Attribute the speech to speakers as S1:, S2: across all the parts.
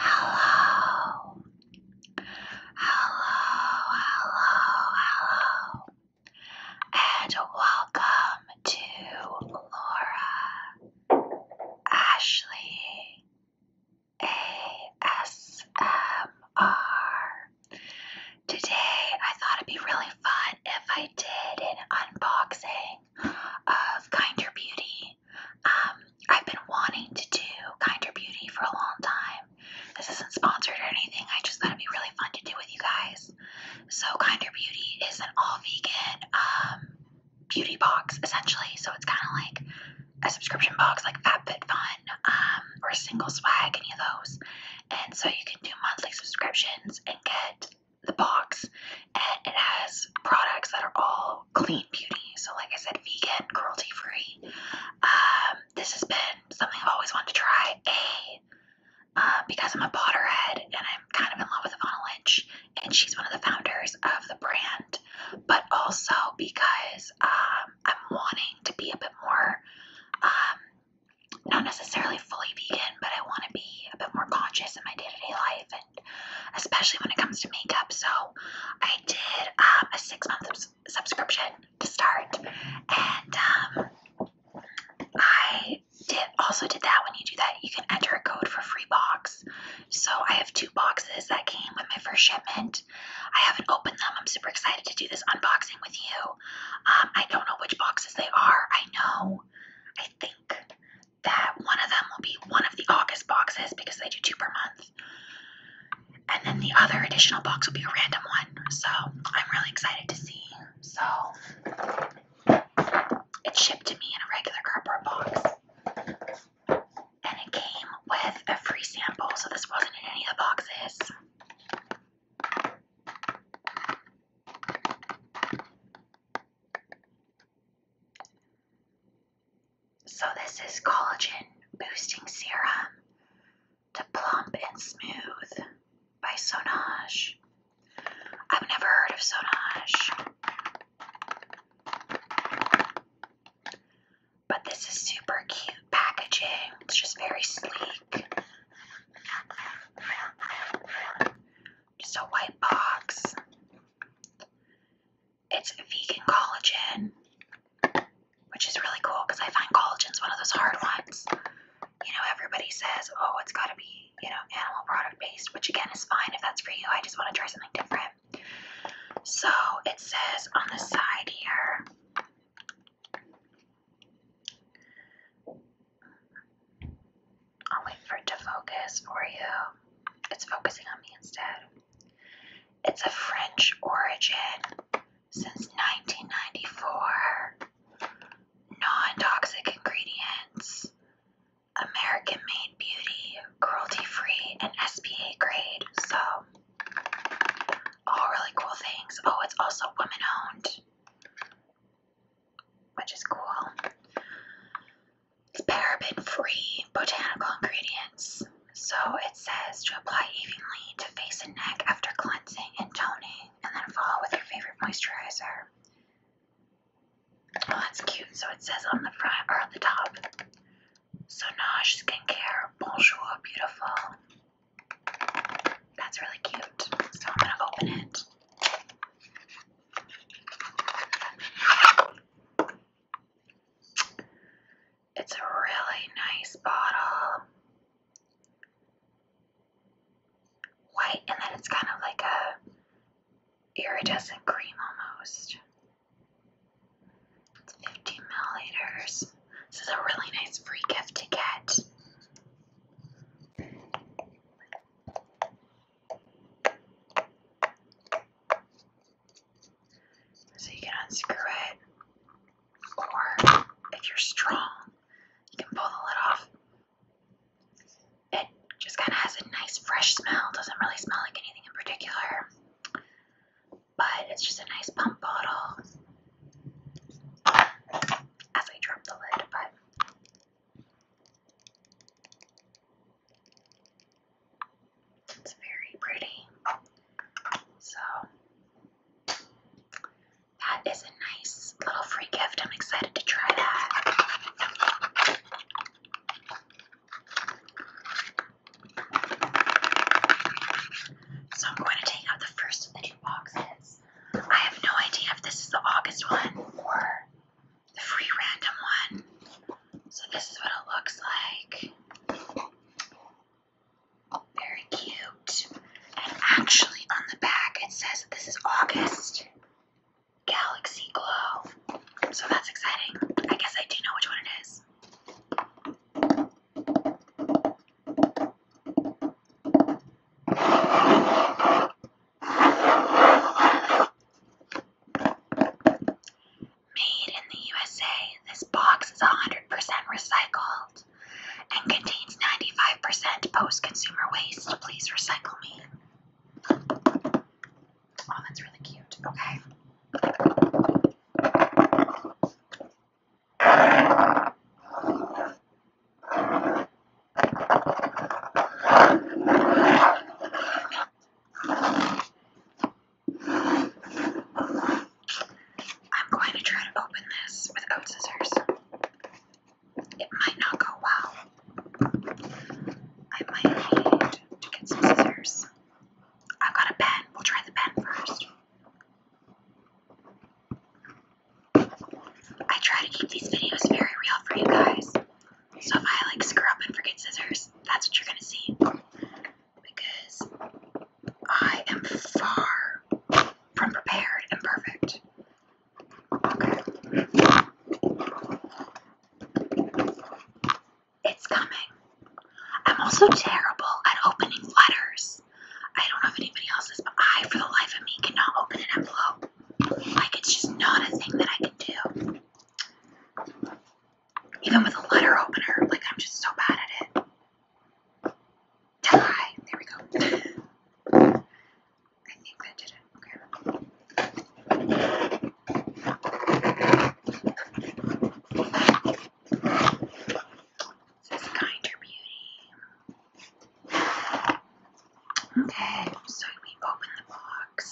S1: Hello. Hello, hello, hello. And welcome to Laura Ashley ASMR. Today I thought it'd be really fun if I did an unboxing of Kinder Beauty. Um, I've been wanting to do Kinder Beauty for a long time. This isn't sponsored or anything. I just thought it'd be really fun to do with you guys. So Kinder Beauty is an all vegan um, beauty box essentially. So it's kind of like a subscription box like FabFitFun um, or Single Swag, any of those. And so you can do monthly subscriptions and get the box and it has products that are all clean beauty. So, like I said, vegan, cruelty free. Um, this has been something I've always wanted to try. A, um, because I'm a Potterhead and I'm kind of in love with Ivana Lynch, and she's one of the founders of the brand, but also because um, I'm wanting to be a bit more, not necessarily fully vegan, but I want to be a bit more conscious in my day to day life especially when it comes to makeup. So I did um, a six month subscription to start, and um, I did also did that. When you do that, you can enter a code for free box. So I have two boxes that came with my first shipment. I haven't opened them. I'm super excited to do this unboxing with you. Um, I don't know which boxes they are. I know. I think that one of them will be one of the August boxes because they do two per month. And then the other additional box will be a random one. So I'm really excited to see. So it's shipped to me in a regular cardboard box. And it came with a free sample, so this wasn't in any of the boxes. So, this is collagen boosting serum to plump and smooth by Sonage. I've never heard of Sonage. But this is super cute packaging. It's just very sleek. Just a white box. It's vegan collagen, which is really cool because I find collagen's one of those hard ones. You know, everybody says, oh, it's got to be, you know, animal product based, which again is fine if that's for you. I just want to try something different. So it says on the side here, I'll wait for it to focus for you. It's focusing on me instead. It's a French origin since 1994. Non toxic ingredients. American made beauty, cruelty free, and SPA grade. So, all really cool things. Oh, it's also women owned, which is cool. It's paraben free botanical ingredients. So it says to apply evenly to face and neck after cleansing and toning, and then follow with your favorite moisturizer. Oh, that's cute. So it says on the front or on the top. So Nosh Skincare, bonjour, beautiful. That's really cute. So I'm gonna open it. It's a really nice bottle. White, and then it's kind of like a iridescent cream almost. It's 15 milliliters. This is a really nice free gift to get. So you can unscrew it, or if you're strong, you can pull the lid off. It just kind of has a nice fresh smell, doesn't really smell like anything in particular, but it's just a nice pump bottle. As I drop the lid, but it's very pretty. So, that is a nice little free gift. I'm excited to try that. So, I'm going to take out the first of the two boxes. I have no idea if this is the August one or the free random one. So this is what it looks like. Very cute. And actually on the back it says this is August Galaxy Glow. So that's exciting. I guess I do know which one it is. Made in the USA, this box is 100% recycled and contains 95% post consumer waste. Please recycle me. Oh, that's really cute. Okay. I'm going to try to open this with oat scissors. It might not go well. I might need to get some scissors. I've got a pen. We'll try the pen first. I try to keep these videos very real for you guys. So if I like screw up and forget scissors, that's what you're gonna see. Because I am far from prepared and perfect. Okay. It's coming. I'm also terrible at opening letters. I don't know if anybody else is, but I, for the life of me, cannot open an envelope. Like, it's just not a thing that I can do. Even with a letter opener, like, I'm just so bad at it. There we go. I think that did it. Okay. Kinder Beauty. Okay, so we open the box.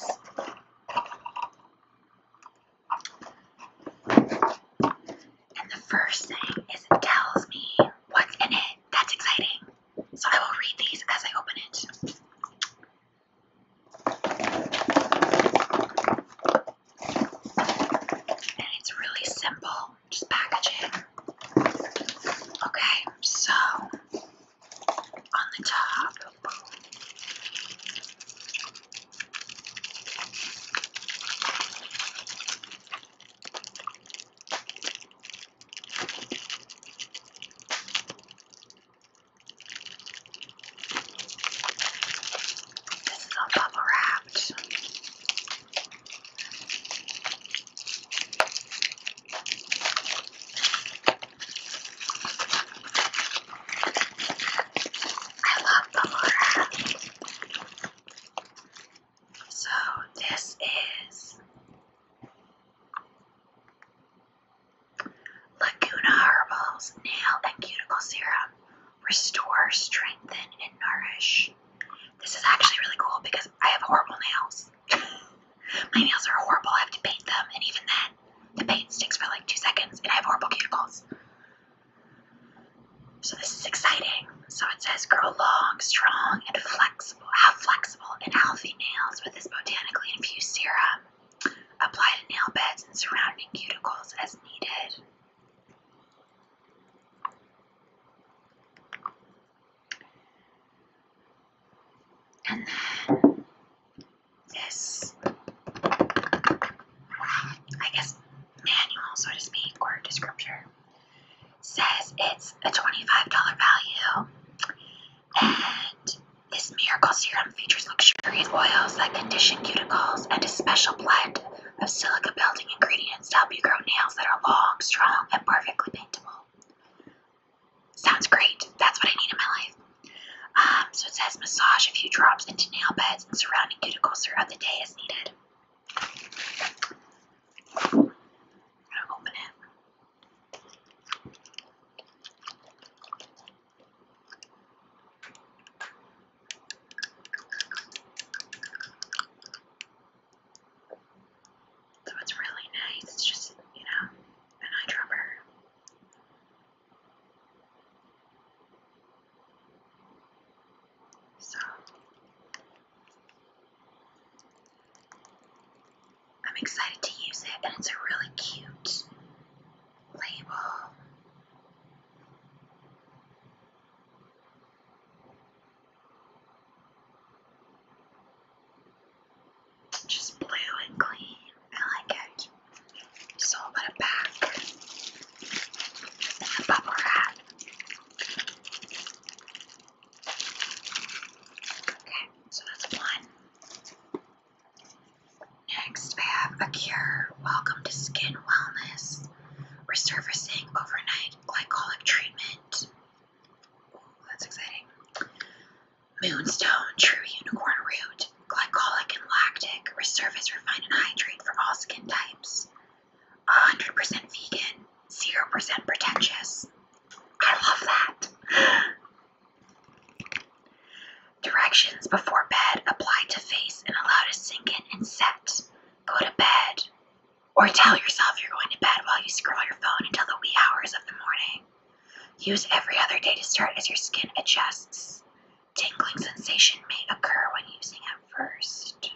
S1: And the first thing is it tells me what's in it. That's exciting. So I will read these as I open it. And it's really simple, just packaging. Okay, so on the top. This is all bubble wrapped. I love Ballora. So this is Laguna Herbals Nail and Cuticle Serum. Restore, strengthen, and nourish. This is actually really cool because I have horrible nails. My nails are horrible. I have to paint them, and even then, the paint sticks for like two seconds, and I have horrible cuticles. So this is exciting. So it says grow long, strong, and flexible. Have flexible and healthy nails with this botanically infused serum. Apply to nail beds and surrounding cuticles as needed. And then this, I guess, manual, so to speak, or descriptor, says it's a $25 value. And this miracle serum features luxurious oils that condition cuticles and a special blend of silica building ingredients to help you grow nails that are long, strong, and perfectly paintable. Sounds great. That's what I need in my life. Um, so it says massage a few drops into nail beds and surrounding cuticles throughout the day as needed. I'm gonna open it. So it's really nice. It's just, you know, an eyedropper. So I'm excited to use it, and it's a really cute label just blue and clean. I like it. So I'll put it back the bubble wrap. Okay, so that's one. Next, I have a cure. Welcome to Skin Wellness. Resurfacing overnight glycolic treatment. that's exciting. Moonstone, true unicorn root, glycolic and lactic, Reserve as refined, and hydrate for all skin types. 100% vegan, 0% pretentious. I love that. Directions before bed apply to face and allow to sink in and set. Go to bed. Or tell yourself you're going to bed while you scroll your phone until the wee hours of the morning. Use every other day to start as your skin adjusts. Tingling sensation may occur when using it first.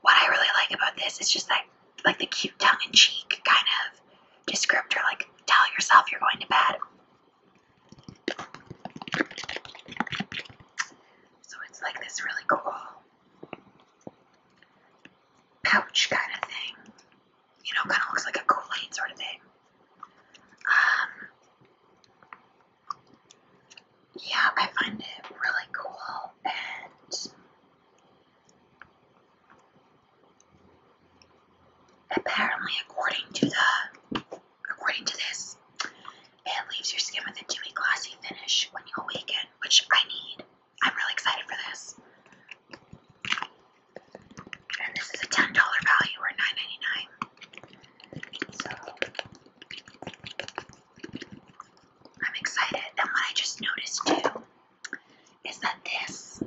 S1: What I really like about this is just that, like the cute tongue in cheek kind of descriptor, like tell yourself you're going to bed. So it's like this really cool pouch kind of thing you know, kind of looks like a kool sort of thing. Um, yeah, I find it really cool and apparently according to the according to this it leaves your skin with a dewy glossy finish when you awaken, which I need. I'm really excited for this. And this is a $10 value or 9 So I'm excited. And what I just noticed too is that this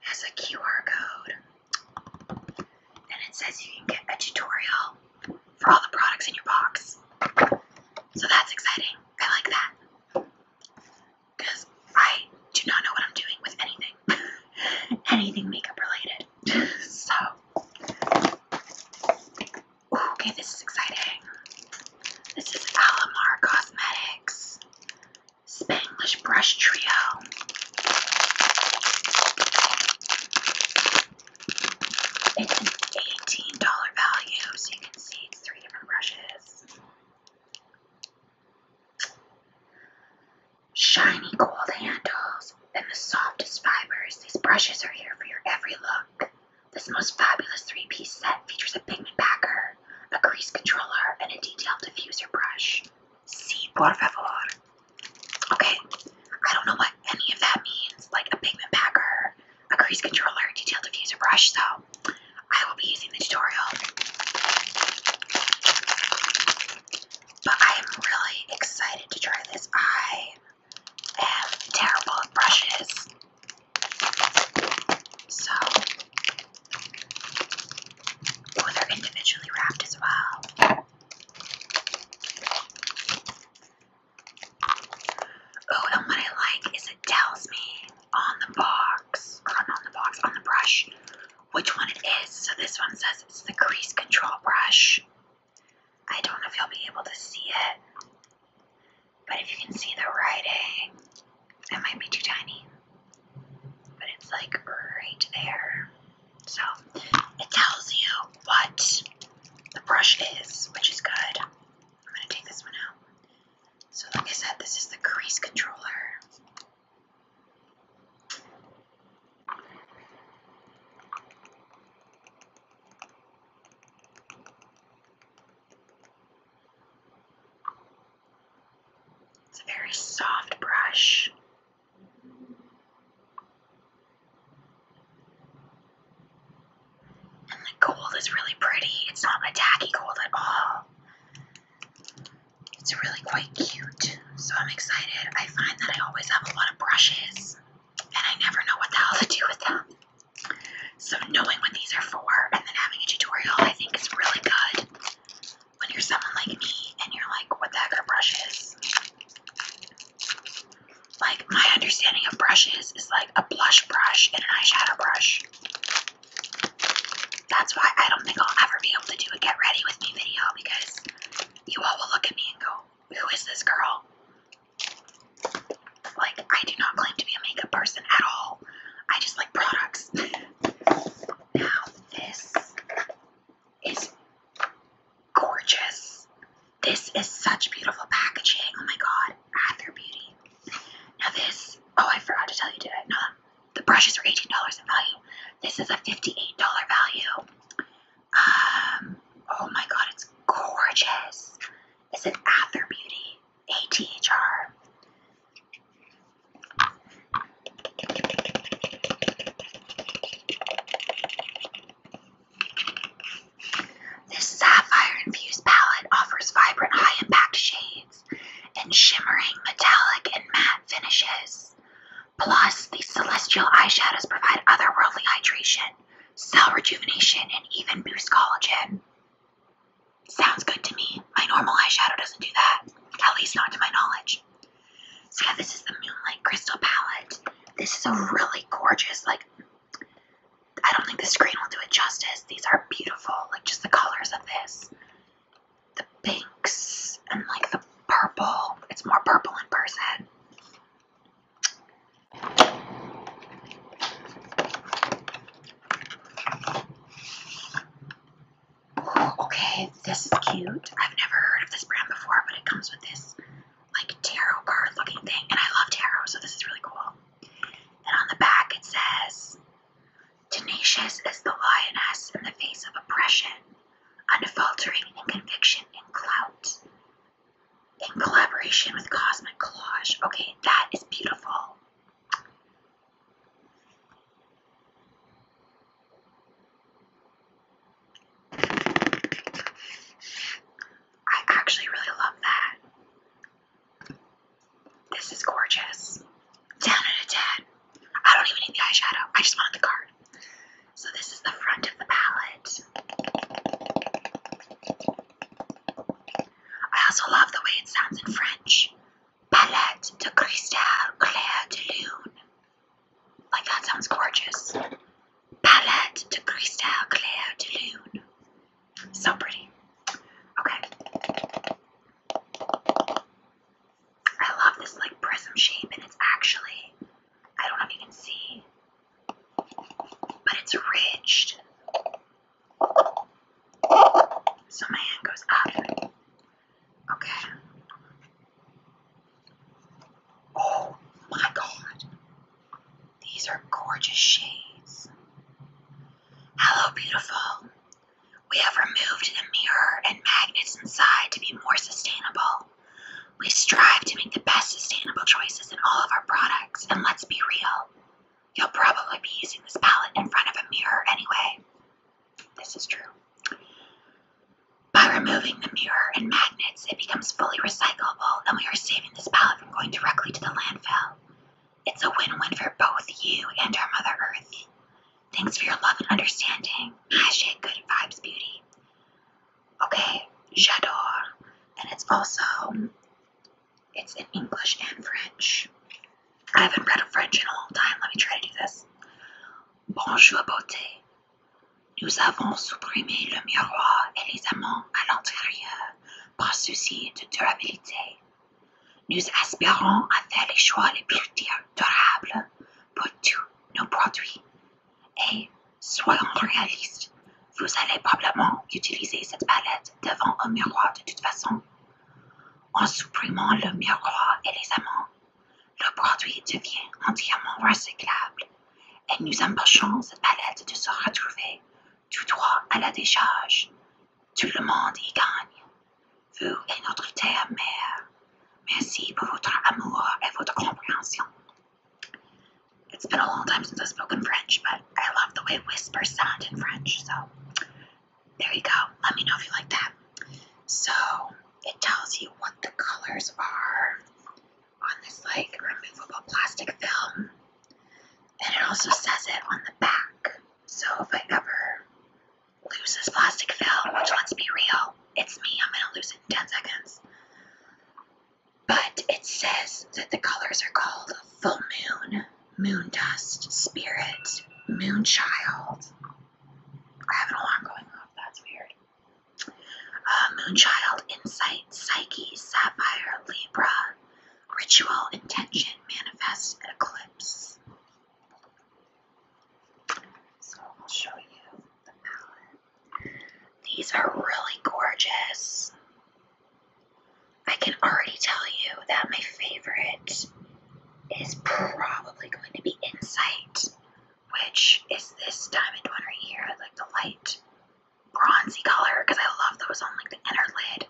S1: has a QR code. And it says you can get a tutorial for all the products in your box. So that's exciting. I like that because I do not know what I'm doing with anything, anything makeup related. so, okay, this is exciting. This is Alamar Cosmetics Spanglish Brush Trio. It's an $18 value, so you can see it's three different brushes. Shiny gold handles and the softest fibers. These brushes are here for your every look. This most fabulous three-piece set features a pigment packer, a crease controller, and a detailed diffuser brush. Si, por favor. Okay, I don't know what any of that means, like a pigment packer a crease controller, detailed diffuser brush, so I will be using the tutorial. But I am really excited to try this. I am terrible at brushes. So, they're individually wrapped as well. Oh, and what I like is it tells me on the box, or on the box, on the brush, which one it is. So this one says it's the crease control brush. I don't know if you'll be able to see it, but if you can see the writing, it might be too tiny, but it's like right there. So it tells you what the brush is, which is good. I'm going to take this one out. So like I said, this is the crease controller. It's a very soft brush. And the gold is really pretty. It's not a tacky gold at all. It's really quite cute. So I'm excited. I find that I always have a lot of brushes and I never know what the hell to do with them. So knowing what these are for and then having a tutorial I think is really good when you're someone like me and you're like, what the heck are brushes? Like my understanding of brushes is like a blush brush and an eyeshadow brush. That's why I don't think I'll ever be able to do a get ready with me video because you all will look at me and go, Who is this girl? Like, I do not claim to be a makeup person at all. I just like products. now, this is gorgeous. This is such beautiful packaging. Oh my god. Hather ah, Beauty. Now this, oh, I forgot to tell you, did I? No, the brushes are $18 in value. This is a $58 value. Um, oh my god, it's gorgeous. It's an Ather Beauty ATHR. This sapphire-infused palette offers vibrant high-impact shades and shimmering metallic and matte finishes. Plus, these celestial eyeshadows provide otherworldly hydration, cell rejuvenation, and even boost collagen. Sounds good to me. My normal eyeshadow doesn't do that, at least not to my knowledge. So yeah, this is the Moonlight Crystal palette. This is a really gorgeous, like I don't think the screen will do it justice. These are beautiful, like just the colors of this. The pinks and like the purple. It's more purple in person. okay, this is cute. I've never heard of this brand before, but it comes with this like tarot card looking thing, and I love tarot, so this is really cool. And on the back it says, Tenacious is the lioness in the face of oppression, unfaltering in conviction and clout. In collaboration with Cosmic Collage. Okay, that is beautiful. I actually really love that. This is gorgeous. 10 out of 10. I don't even need the eyeshadow. I just wanted the card. So this is the front of the palette. I also love the way it sounds in French. Palette de cristal clair de lune. Like that sounds gorgeous. Palette de cristal clair de lune. So pretty. Okay. I love this like prism shape, and it's actually, I don't know if you can see, but it's ridged. So my hand goes up. Okay. Oh my god. These are gorgeous shades. Hello, beautiful. We have removed the mirror and magnets inside to be more sustainable. We strive to make the best sustainable choices in all of our products, and let's be real. You'll probably be using this palette in front of a mirror anyway. This is true. By removing the mirror and magnets, it becomes fully recyclable, and we are saving this palette from going directly to the landfill. It's a win win for both you and our Mother Earth. Thanks for your love and understanding. Hashtag good vibes beauty. Okay, j'adore. And it's also it's in English and French. I haven't read French in a long time. Let me try to do this. Bonjour beauté. Nous avons supprimé le miroir et les amants à l'intérieur. par souci de durabilité. Nous aspirons à faire les choix les plus durables pour tous nos produits. Et, soyons réalistes, vous allez probablement utiliser cette palette devant un miroir de toute façon. En supprimant le miroir et les amants, le produit devient entièrement recyclable et nous empêchons cette palette de se retrouver Tout droit à la décharge. Tout le monde y gagne. Vous et notre terre mère, merci pour votre amour et votre compréhension. It's been a long time since I've spoken French, but I love the way whispers sound in French, so there you go. Let me know if you like that. So it tells you what the colors are on this like removable plastic film. And it also says it on the back. So if I ever lose this plastic film, which let's be real, it's me, I'm gonna lose it in 10 seconds. But it says that the colors are called full moon, moon dust, spirit, moon child. I have an alarm going off, that's weird. Uh, moon child, insight, psyche, sapphire, libra, Ritual intention manifest, eclipse. So I'll show you the palette. These are really gorgeous. I can already tell you that my favorite is probably going to be Insight, which is this diamond one right here, like the light bronzy color because I love those on like the inner lid.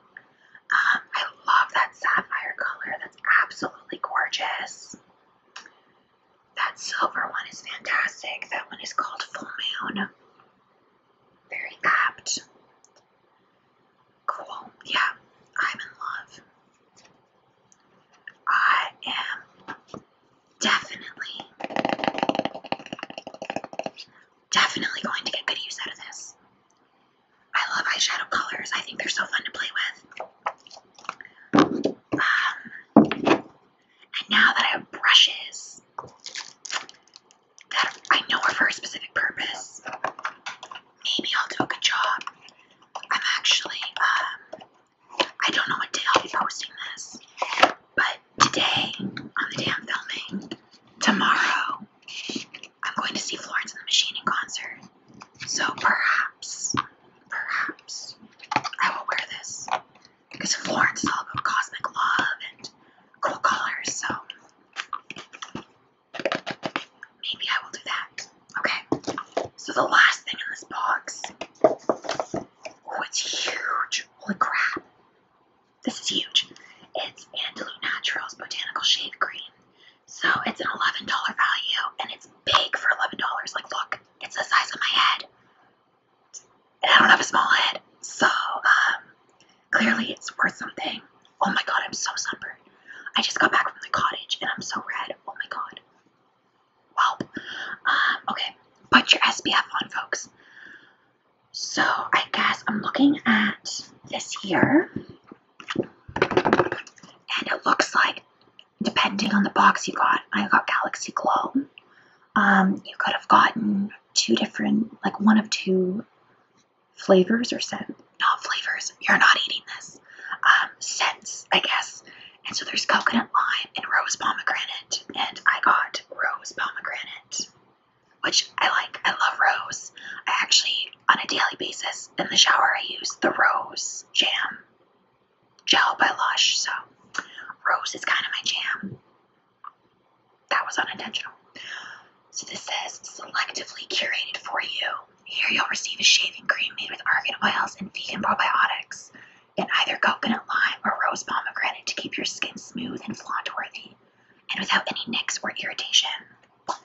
S1: Um, I love that sapphire color. That's absolutely gorgeous. That silver one is fantastic. That one is called Full Moon. Very apt. Cool. Yeah, I'm in love. I am definitely Definitely going to get good use out of this. I love eyeshadow colors. I think they're so fun to play with. Um, and now that I have brushes that I know are for a specific purpose, maybe I'll do a good job. I'm actually, um, I don't know what day I'll be posting this, but today, on the day I'm filming, tomorrow, I'm going to see Florence and the Machine in concert. So perhaps, perhaps, I will wear this. Because Florence is all about cosmic love and cool colors, so maybe I will do that. Okay, so the last thing in this box. Oh, it's huge. Holy crap. This is huge. It's Andalou Naturals Botanical Shave Cream. So it's an $11 value, and it's big for $11. Like, look, it's the size of my head. And I don't have a small head. So, um, clearly it's worth something. Oh my god, I'm so sunburned. I just got back from the cottage, and I'm so red. Oh my god. Welp. Um, okay, put your SPF on, folks. So I guess I'm looking at this here. And it looks like, depending on the box you got, I got Galaxy Glow. Um, you could have gotten two different, like one of two flavors or scents. not flavors. You're not eating this. Um, scents, I guess. And so there's coconut lime and rose pomegranate, and I got rose pomegranate which I like. I love rose. I actually, on a daily basis, in the shower, I use the rose jam gel by Lush. So, rose is kind of my jam. That was unintentional. So, this says selectively curated for you. Here, you'll receive a shaving cream made with argan oils and vegan probiotics, and either coconut lime or rose pomegranate to keep your skin smooth and flaunt worthy and without any nicks or irritation.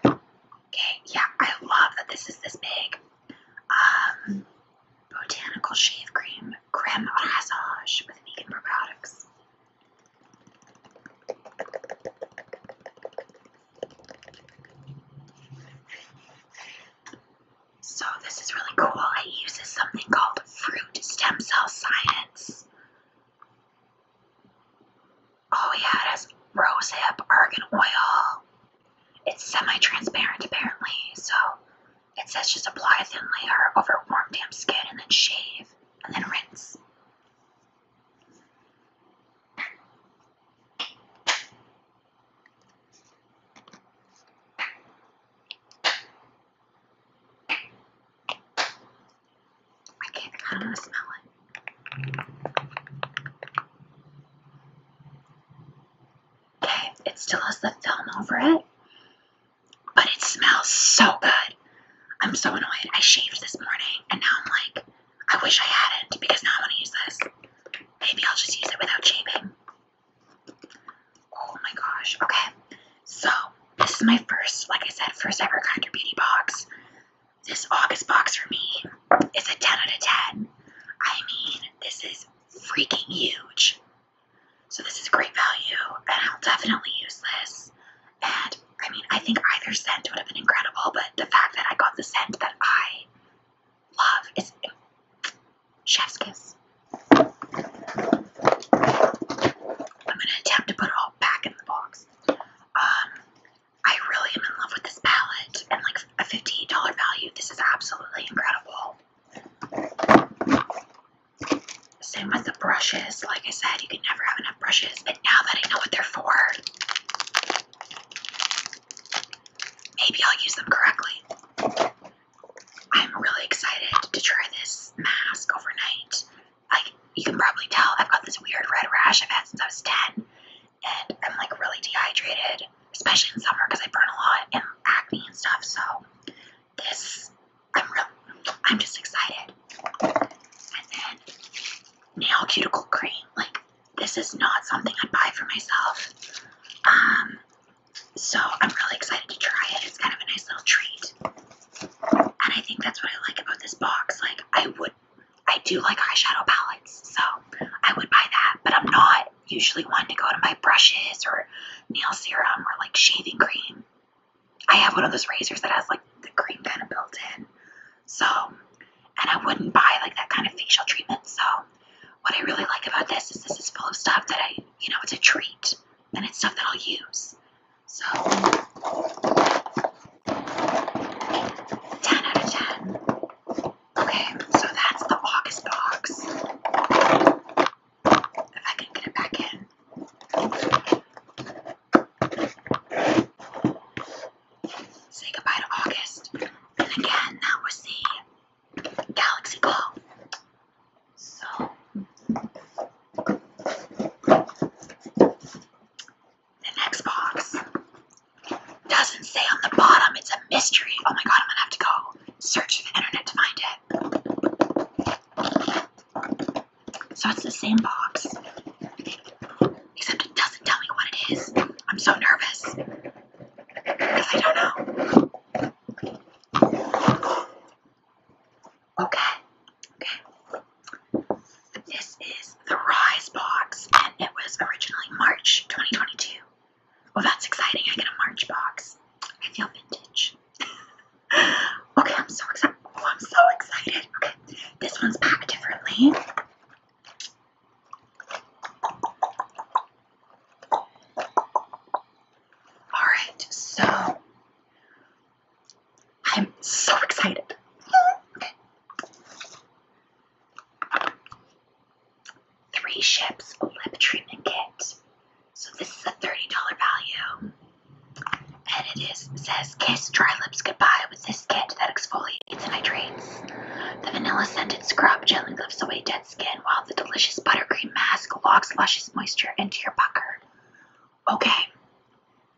S1: Okay, yeah, I love that this is this big. Um, botanical shave cream, creme rasage with vegan probiotics. So this is really cool. It uses something called fruit stem cell science this. Oh yeah, it rosehip argan oil. It's semi-transparent apparently, so it says just apply a thin layer over warm damp skin and then shave and then rinse. I can't I kind of smell it. Okay, it still has the film over it, but it smells so good. I'm so annoyed. I shaved this morning, and now I'm like, I wish I hadn't because now I want to use this. Maybe I'll just use it without shaving. Oh my gosh. Okay. So this is my first, like I said, first ever Kinder Beauty box. This August box for me is a 10 out of 10. I mean, this is freaking huge. So this is great value, and I'll definitely use this. And I mean, I think either scent would have been incredible, but the fact that I got the scent that I love is chef's kiss. I'm gonna attempt to put it all back in the box. Um, I really am in love with this palette, and like a $58 value, this is absolutely incredible. Same with the brushes. Like I said, you can never have enough brushes, but now that I know what they're for, maybe I'll use them correctly. I'm really excited to try this mask overnight. Like, you can probably tell I've got this weird red rash I've had since I was 10, and I'm like really dehydrated, especially in summer because I burn a lot and acne and stuff. So, this, I'm real, I'm just excited. And then, nail cuticle cream. Like, this is not something I buy for myself. Um, so I'm really excited to try it. It's kind of a nice little treat. And I think that's what I like about this box. Like I would I do like eyeshadow palettes, so I would buy that, but I'm not usually one to go to my brushes or nail serum or like shaving cream. I have one of those razors that has like the cream kind of built in. So and I wouldn't buy like that kind of facial treatment. So what I really like about this is this is full of stuff that I, you know, it's a treat and it's stuff that I'll use. So, 10 out of 10. Okay, so that's the August box. If I can get it back in. Say goodbye to August. And again, that was the Galaxy Glow. So the next box doesn't say on the bottom. It's a mystery. Oh my god, I'm gonna have to go search the internet to find it. So it's the same box, except it doesn't tell me what it is. I'm so nervous because I don't know. Okay, okay. This is the Rise box, and it was originally March 2022. Well, that's exciting. I get a March box. I feel vintage. okay, I'm so excited. Oh, I'm so excited. Okay, this one's packed differently. All right, so I'm so excited. Three Ships Lip Treatment Kit. So this is a $30 value. And it is says kiss dry lips goodbye with this kit that exfoliates and hydrates. The vanilla scented scrub gently lifts away dead skin while the delicious buttercream mask." Alaska luscious moisture into your pucker. Okay,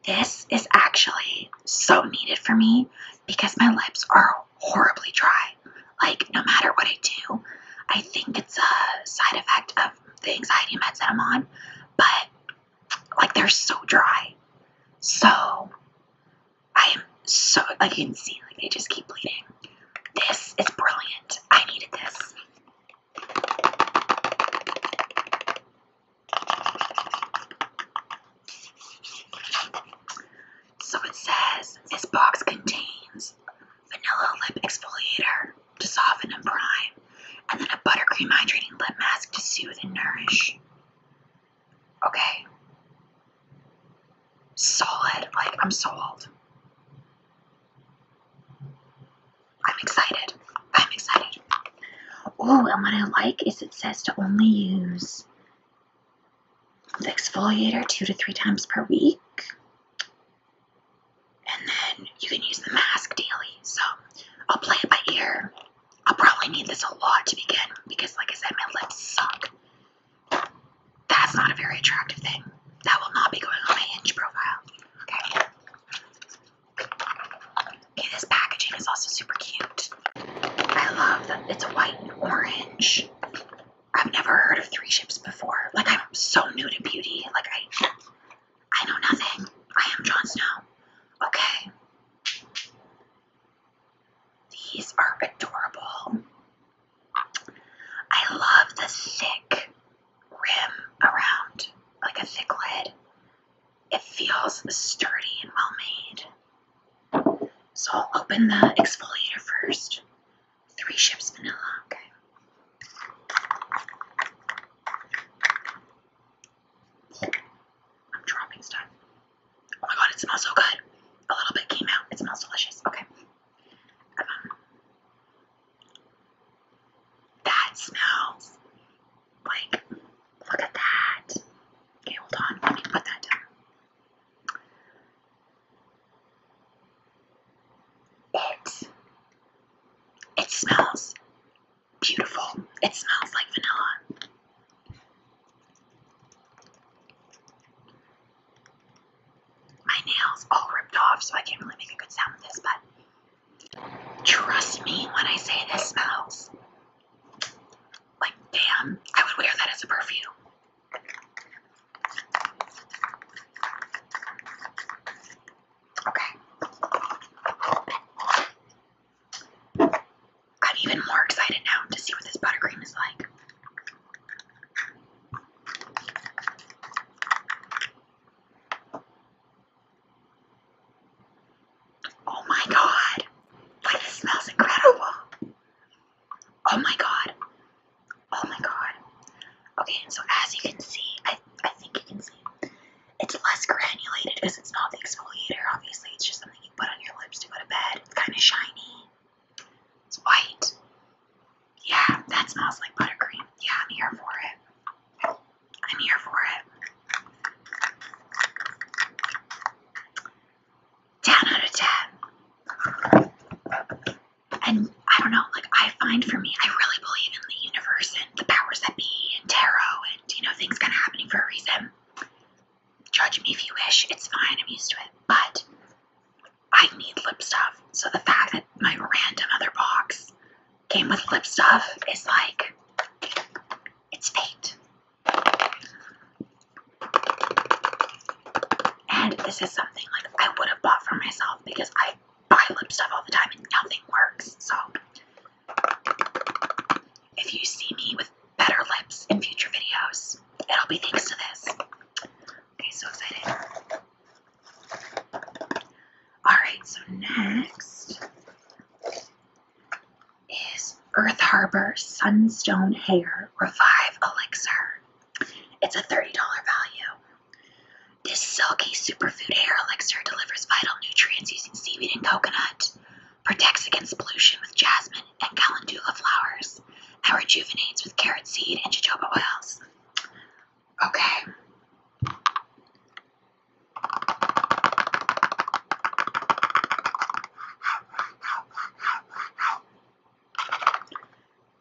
S1: this is actually so needed for me because my lips are horribly dry. Like, no matter what I do, I think it's a side effect of the anxiety meds that I'm on, but like they're so dry. So, I am so, like, you can see, like, they just keep bleeding. This is brilliant. I needed this. So it says this box contains vanilla lip exfoliator to soften and prime, and then a buttercream hydrating lip mask to soothe and nourish. Okay. Solid. Like, I'm sold. I'm excited. I'm excited. Oh, and what I like is it says to only use the exfoliator two to three times per week. And then you can use the mask daily. So I'll play it by ear. I'll probably need this a lot to begin because, like I said, my lips suck. That's not a very attractive thing. That will not be going on my Hinge profile. Okay. Okay, this packaging is also super cute. I love that it's white and orange. I've never heard of three ships before. Like I'm so new to beauty. Like I I know nothing. I am Jon Snow. Okay. These are adorable. I love the thick rim around, like a thick lid. It feels sturdy and well made. So I'll open the exfoliator first. Three ships vanilla, okay. I'm dropping stuff. Oh my god, it smells so good. A little bit came out. It smells delicious. Okay. That smells like, look at that. Okay, hold on, let me put that down. It, it smells beautiful. It smells like vanilla my nails all ripped off, so I can't really make a good sound with this, but trust me when I say this smells like damn, I would wear that as a perfume. Okay. I'm even more excited now to see what this buttercream is like. Oh my god! this smells incredible! Oh my god! Oh my god! Okay, so as you can see, I I think you can see, it's less granulated because it's not the exfoliator. Obviously, it's just something you put on your lips to go to bed. It's kind of shiny. It's white. Yeah, that smells like buttercream. Yeah, I'm here for it. I'm here for it. 10 out of 10. And I don't know, like, I find for me, I really believe in the universe and the powers that be and tarot and, you know, things kind of happening for a reason. Judge me if you wish, it's fine, I'm used to it. But I need lip stuff. So the fact that my random other box came with lip stuff is like, it's fate. And this is something like I would have bought for myself because I buy lip stuff all the time and nothing works. So if you see me with better lips in future videos, it'll be thanks to this. Okay, so exciting. Alright, so next is Earth Harbor Sunstone Hair Revive Elixir. It's a $30 value. This silky superfood hair elixir delivers vital nutrients using seaweed and coconut, protects against pollution with jasmine and calendula flowers, and rejuvenates with carrot seed and jojoba oils. Okay.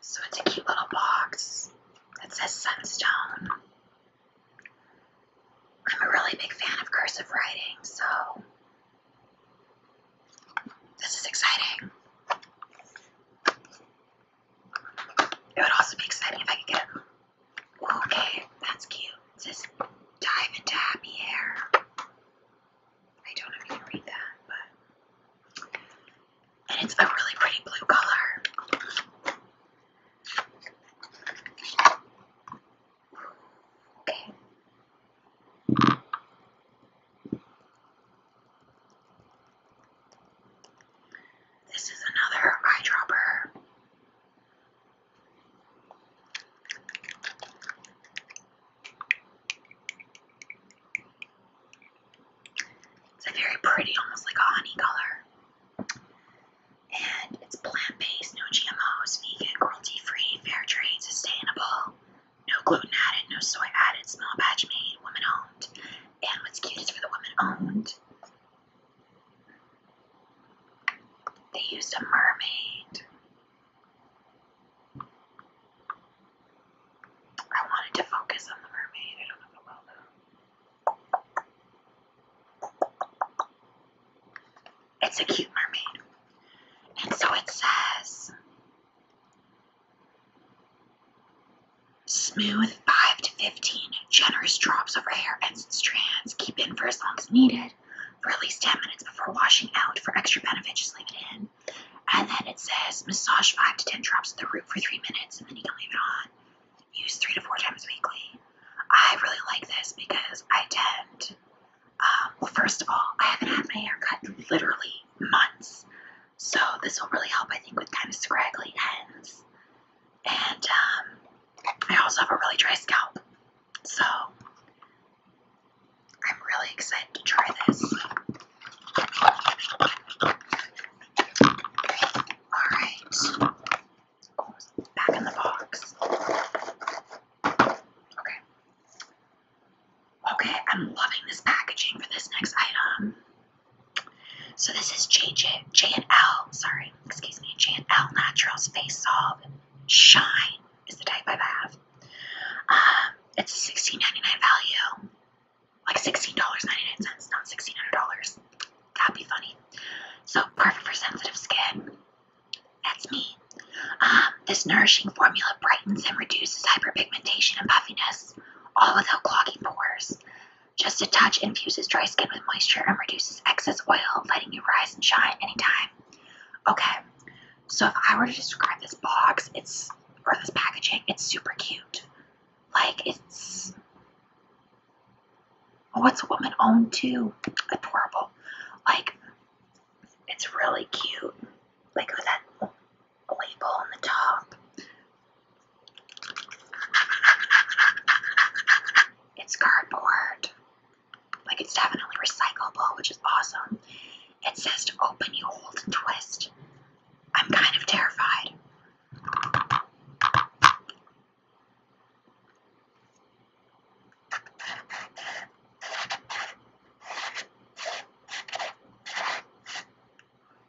S1: So it's a cute little box that says Sunstone. I'm a really big fan of cursive writing, so this is exciting. It would also be exciting if I could get a okay, that's cute. It says dive into happy hair. I don't know if you read that, but and it's a really pretty blue color. Okay. This is another eyedropper. It's a very pretty, almost like a honey color. And it's plant based, no GMOs, vegan, cruelty free, fair trade, sustainable, no gluten added, no soy added, small batch made, woman owned. And what's cute is for the woman owned, they used a mermaid. I wanted to focus on the mermaid. I don't know if I though. It's a cute mermaid. And so it says Smooth 5 to 15 generous drops over hair and strands. Keep in for as long as needed for at least 10 minutes before washing out. For extra benefit, just leave it in. And then it says massage 5 to 10 drops at the root for 3 minutes and then you can leave it on. Use 3 to 4 times weekly. I really like this because I tend, um, well, first of all, I haven't had my hair cut in literally months. So this will really help, I think, with kind of scraggly ends. And um, I also have a really dry scalp. So I'm really excited to try this. Alright. back in the box. Okay. Okay, I'm loving this packaging for this next item. So this is J J J and L. Sorry, excuse me. J and L Naturals Face Solve Shine is the type I have. Um, it's a $16.99 value, like $16.99, not $1,600. That'd be funny. So perfect for sensitive skin. That's me. Um, this nourishing formula brightens and reduces hyperpigmentation and puffiness all without clogging pores. Just a touch infuses dry skin with moisture and reduces excess oil, letting you rise and shine anytime. Okay, so if I were to describe this box, it's or this packaging, it's super cute. Like it's what's a woman own too. Adorable. Like it's really cute. Like that label on the top. It's cardboard. Like it's definitely recyclable, which is awesome. It says to open, you hold, and twist. I'm kind of terrified.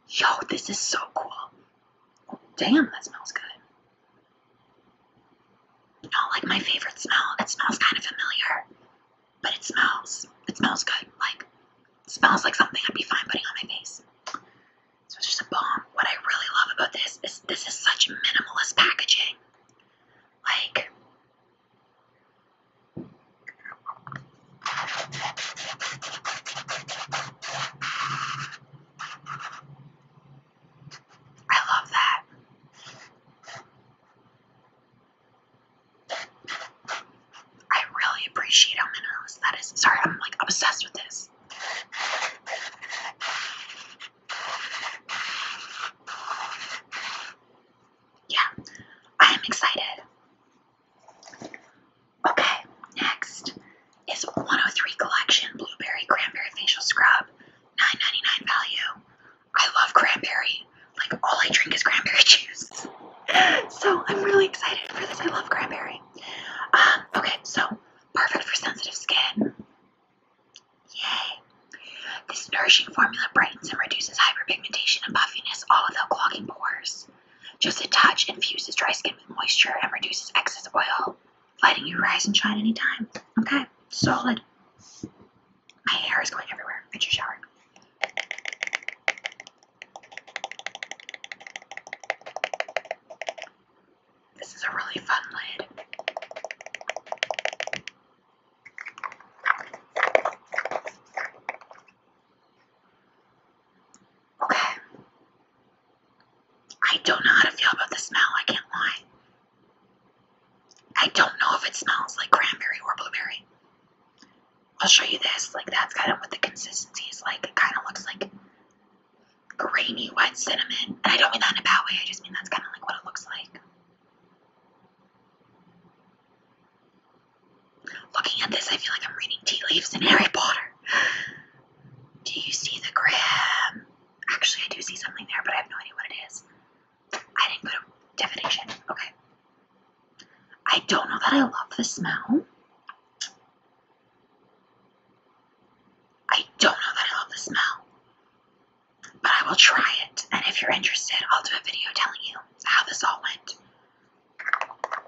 S1: Yo, this is so cool. damn, that smells good. Not like my favorite smell. It smells kind of familiar, but it smells. It smells good. Like, smells like something I'd be fine putting on my face. So it's just a bomb. What I really love about this is this is such minimalist packaging. Like, I love that. I really appreciate Elminos. That is, sorry, I'm like obsessed with this. Yeah, I am excited. Okay, next is 103 Collection Blueberry Cranberry Facial Scrub, 9.99 value. I love cranberry. Like, all I drink is cranberry juice. so, I'm really excited for this. I love cranberry. Um, okay, so, perfect for sensitive skin. Yay. This nourishing formula brightens and reduces hyperpigmentation and puffiness all without clogging pores. Just a touch infuses dry skin with moisture and reduces excess oil, letting you rise and shine anytime. Okay, solid. My hair is going everywhere. Get your shower. This is a really fun lid. Okay. I don't know how to feel about the smell, I can't lie. I don't know if it smells like cranberry or blueberry. I'll show you this. Like, that's kind of what the consistency is like. It kind of looks like grainy wet cinnamon. And I don't mean that in a bad way, I just mean that's kind of like what it looks like. Looking at this, I feel like I'm reading tea leaves in Harry Potter. Do you see the gram? Actually, I do see something there, but I have no idea what it is. I didn't go to definition. Okay. I don't know that I love the smell. I don't know that I love the smell. But I will try it, and if you're interested, I'll do a video telling you how this all went. But,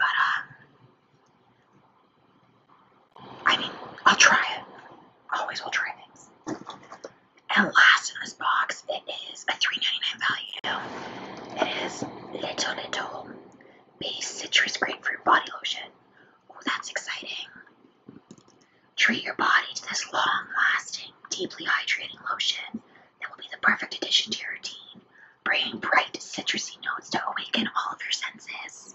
S1: uh, I mean, I'll try it. Always will try things. And last in this box, it is a $3.99 value. It is Little Little Base Citrus Grapefruit Body Lotion. Oh, that's exciting. Treat your body to this long lasting, deeply hydrating lotion that will be the perfect addition to your routine, bringing bright, citrusy notes to awaken all of your senses.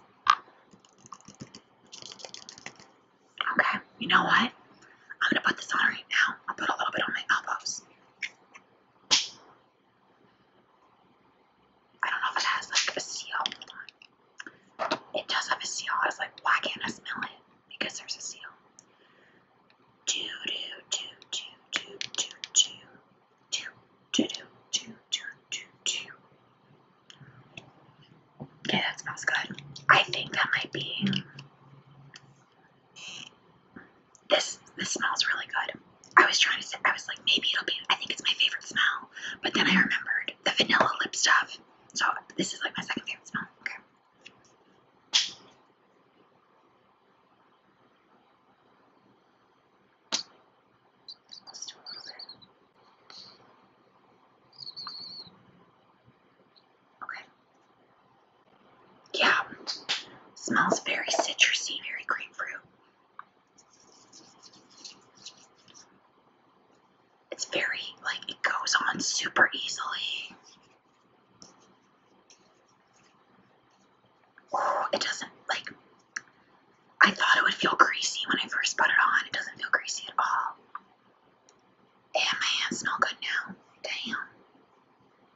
S1: Okay, you know what? I'm gonna put this on right now. I'll put a little bit on my elbows. I don't know if it has like a seal. It does have a seal. I was like, why can't I smell it? because there's a seal. Do Okay, that smells good. I think that might be. This this smells really good. I was trying to say I was like maybe it'll be. I think it's my favorite smell, but then I remembered the vanilla lip stuff. So this is like my second favorite smell. Okay let Okay. Yeah. Smells very citrusy, very grapefruit. It's very, like, it goes on super easily. Oh, it doesn't like. I thought it would feel greasy when I first put it on. It doesn't feel greasy at all. And my hands smell good now. Damn.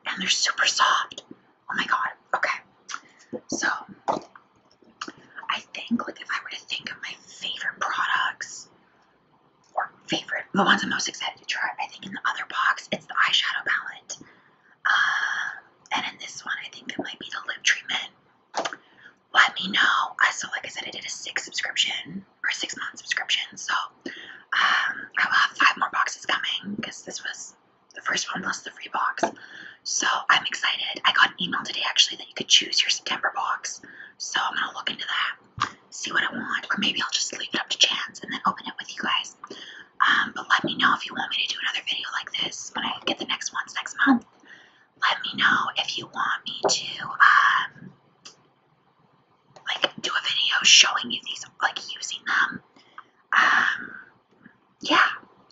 S1: And they're super soft. Oh my god. Okay. So, I think, like, if I were to think of my favorite products, or favorite, the ones I'm most excited to try. I think in the other box, it's the eyeshadow palette. Um, and in this one, I think it might be the lip treatment. Let me know. Uh, so, like I said, I did a six subscription or six month subscription. So, um, I will have five more boxes coming because this was the first one plus the free box. So, I'm excited. I got an email today actually that you could choose your September box. So, I'm going to look into that see what I want, or maybe I'll just leave it up to chance and then open it with you guys. Um, but let me know if you want me to do another video like this when I get the next ones next month. Let me know if you want me to, um, like, do a video showing you these, like, using them. Um, yeah,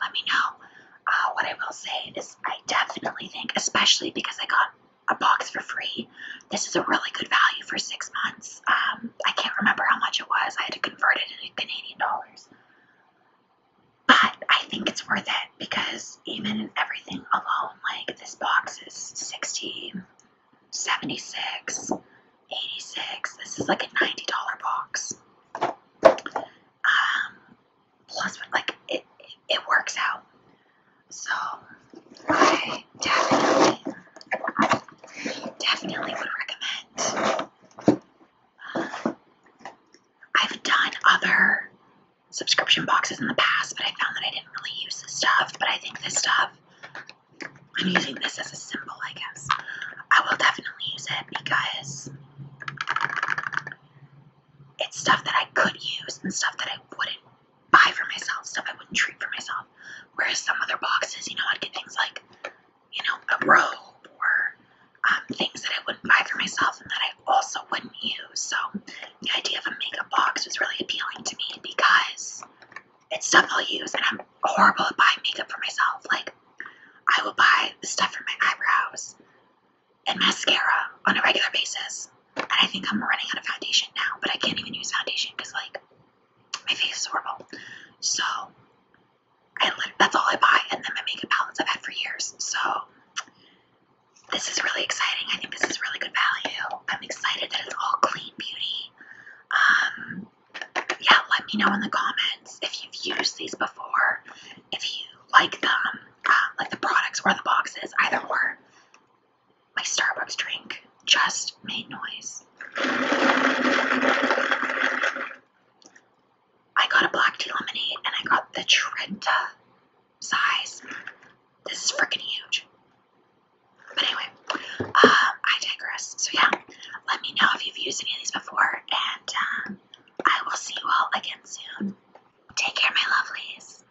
S1: let me know. Uh, what I will say is I definitely think, especially because I got a box for free. This is a really good value for six months. Um, I can't remember how much it was. I had to convert it into Canadian dollars. But I think it's worth it because even everything alone, like this box is 60, 76, 86. This is like a $90 box. Um, plus, like, it, it works out. So I definitely, definitely would recommend. Uh, I've done other subscription boxes in the past, but I found that I didn't really use this stuff. But I think this stuff, I'm using this as a symbol, I guess. I will definitely use it because it's stuff that I could use and stuff that I wouldn't buy for myself, stuff I wouldn't treat for myself. Whereas some other boxes, you know, I'd get things like, you know, a robe or um, things that I wouldn't buy for myself and that I also wouldn't use. So the idea of a makeup box was really appealing to me because it's stuff I'll use, and I'm horrible at buying makeup for myself. Like, I will buy the stuff for my eyebrows and mascara on a regular basis. I think I'm running out of foundation now, but I can't even use foundation because, like, my face is horrible. So, that's all I buy, and then my makeup palettes I've had for years. So, this is really exciting. I think this is really good value. I'm excited that it's all clean beauty. Um, yeah, let me know in the comments if you've used these before, if you like them, uh, like the products or the boxes, either or my Starbucks drink just made noise. I got a black tea lemonade and I got the Trenta size. This is freaking huge. But anyway, um, I digress. So yeah, let me know if you've used any of these before, and um, I will see you all again soon. Take care, my lovelies.